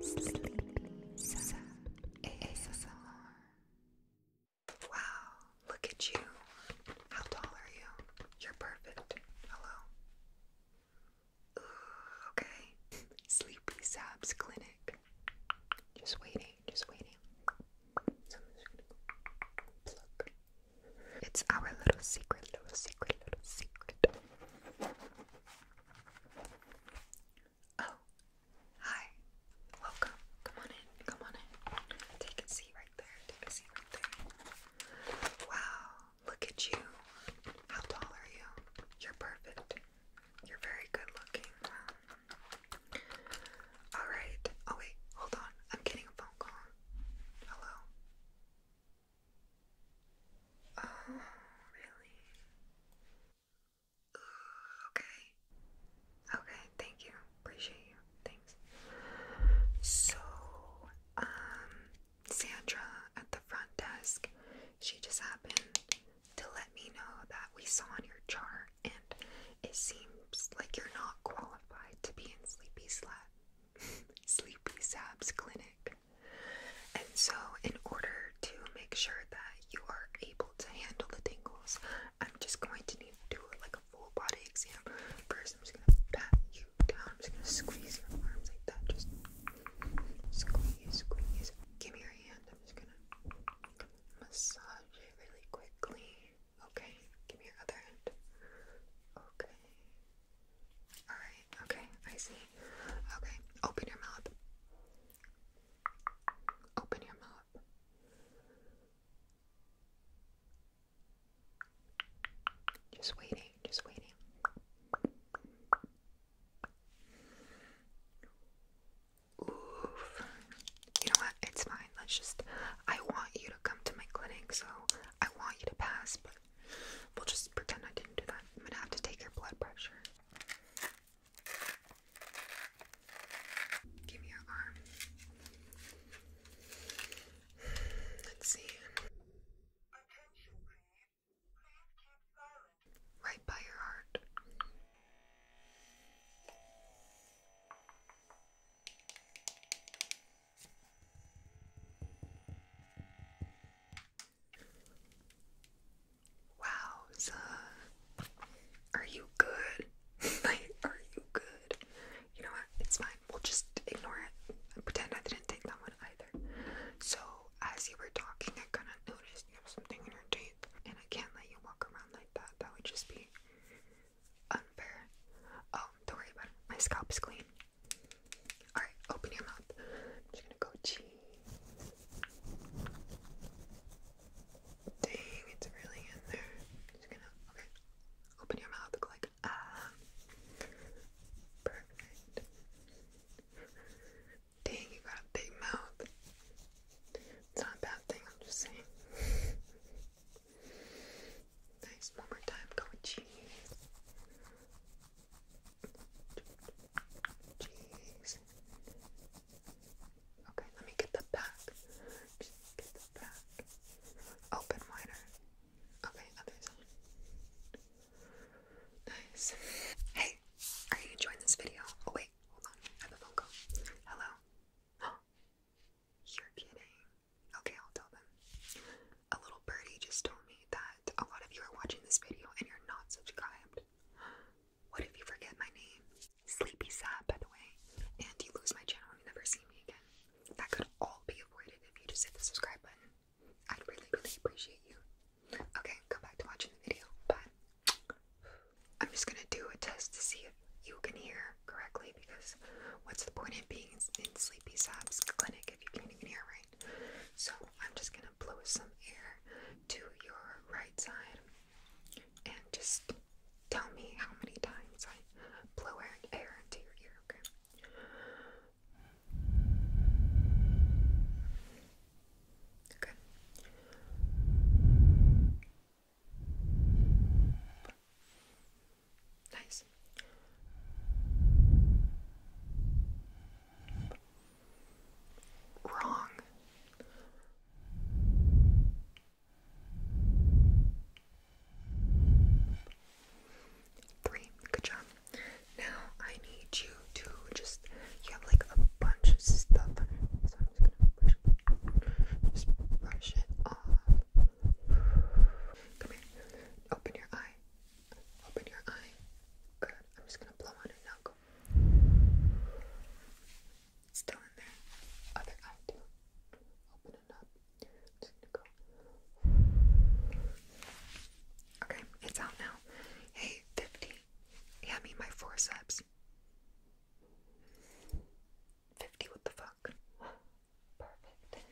Sleep Sap Wow, look at you. How tall are you? You're perfect. Hello. okay. Sleepy Sap's clinic. Just waiting, just waiting. It's our little secret, little secret, little secret. Oh, hi. Welcome. Come on in. Come on in. Take a seat right there. Take a seat right there. Wow, look at you. How tall are you? You're perfect. You're very good looking. Alright. Oh, wait. Hold on. I'm getting a phone call. Hello? Oh, really? okay. Okay, thank you. Appreciate you. Thanks. So, um, Sandra at the front desk, she just happened to let me know that we saw on your chart and it seems like you're not qualified to be in Sleepy Slab Sleepy Sab's clinic. And so, in order to make sure that you are able to handle the tingles, I'm just going to need to do like a full body exam. First, I'm just going to pat you down. I'm just going to squeeze your arms like that. Just squeeze, squeeze. Give me your hand. I'm just going to massage it really quickly. Okay, give me your other hand. Okay, Alright, okay, I see. Okay, open your mouth. Open your mouth. Just waiting, just waiting. Oof. You know what? It's fine. Let's just. I want you to come to my clinic, so I want you to pass, but We'll just pretend I didn't do that. I'm gonna have to take your blood pressure. Give me your arm. Let's see. Right by your heart. Wowza. Are you good? like, are you good? You know what? It's fine. We'll just ignore it pretend I didn't take that one either. So, as you were talking, I kind of noticed you have something in your teeth, and I can't let you walk around like that. That would just be unfair. Oh, don't worry about it. My scalp is clean. Alright, open your mouth. I'm just gonna go cheese. Dang, it's really in there. just gonna, okay. Open your mouth, like, ah. Perfect. Dang, you got a big mouth. It's not a bad thing, I'm just saying. nice, one more time, go cheese. Okay, let me get the back. Just get the back. Open wider. Okay, other side. Nice. Hey, are you enjoying this video? Oh wait, hold on. I have a phone call. Hello. You're kidding. Okay, I'll tell them. A little birdie just told me that a lot of you are watching this video and you're not subscribed. What if you forget my name? Sleepy Sad, by the way, and you lose my channel and you never see me again. That could all be avoided if you just hit the subscribe button. I'd really, really appreciate you. Okay, come back to watching the video, but I'm just gonna do a test to see if you can hear correctly because what's the point of being in Sleepy Sab's clinic if you can't even hear right? So I'm just gonna blow some air to your right side and just tell me how many times I blow air into your ear, okay? Okay. Nice wrong. Three. Good job. Now I need you to just you have like a bunch of stuff. So I'm just gonna brush it off. Come here. Open your eye. Open your eye. Good. I'm just gonna blow on it now. Go. still in there. Other eye Open it up. just gonna go. Okay, it's out now. Hey, 50. Yeah, I my forceps. 50, what the fuck? Perfect.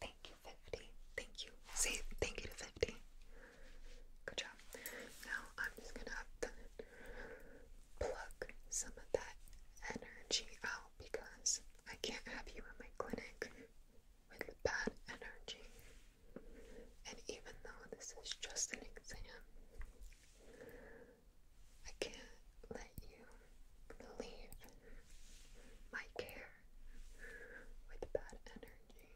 Thank you, 50. Thank you. Say thank you to 50. Good job. Now I'm just gonna pluck some of that energy out because I can't have you in my clinic with bad energy. And even though this is just an exam, I can't let you leave my care with bad energy.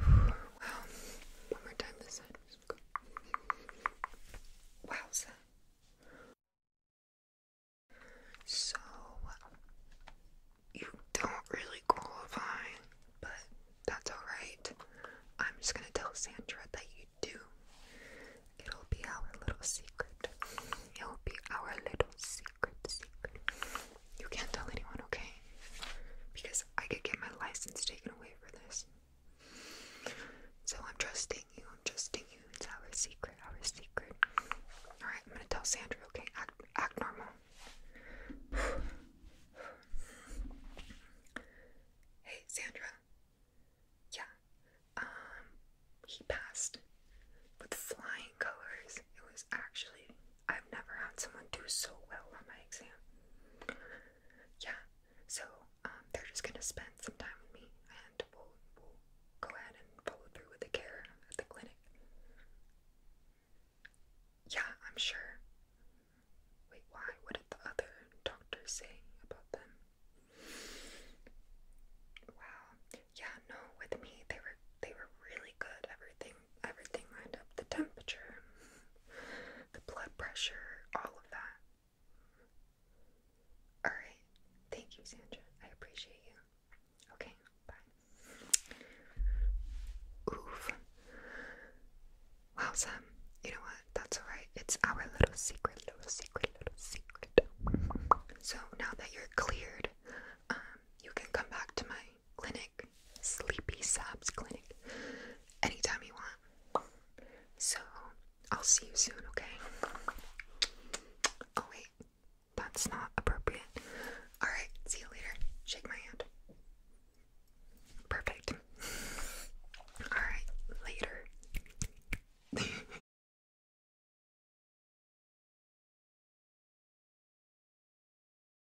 Wow. One more time this side. Go. So, you don't really qualify, but that's alright. I'm just gonna tell Sandra that you do. It'll be our little secret. It'll be our little secret secret. You can't tell anyone, okay? Because I could get my license taken away for this. So I'm trusting you. I'm trusting you. It's our secret. Our secret. All right, I'm gonna tell Sandra. Okay, act act normal. hey, Sandra. Yeah. Um, he passed with flying colors. It was actually I've never had someone do so well on my exam. Yeah, so um, they're just gonna spend some time with me, and we'll, go ahead and follow through with the care at the clinic. Yeah, I'm sure. Wait, why? What did the other doctors say about them? Wow. Yeah, no, with me they were they were really good. Everything everything lined up the temperature, the blood pressure, all of that. Alright, thank you, Sandra. I appreciate you. Okay, bye. Oof. Wow, Sam, you know what? That's alright. It's our little secret, little secret, little secret. So now that you're cleared, um, you can come back to my clinic, sleepy sobs clinic, anytime you want. So I'll see you soon, okay? Oh, wait, that's not appropriate. Alright, see you later. Shake my hand. Perfect. Alright, later.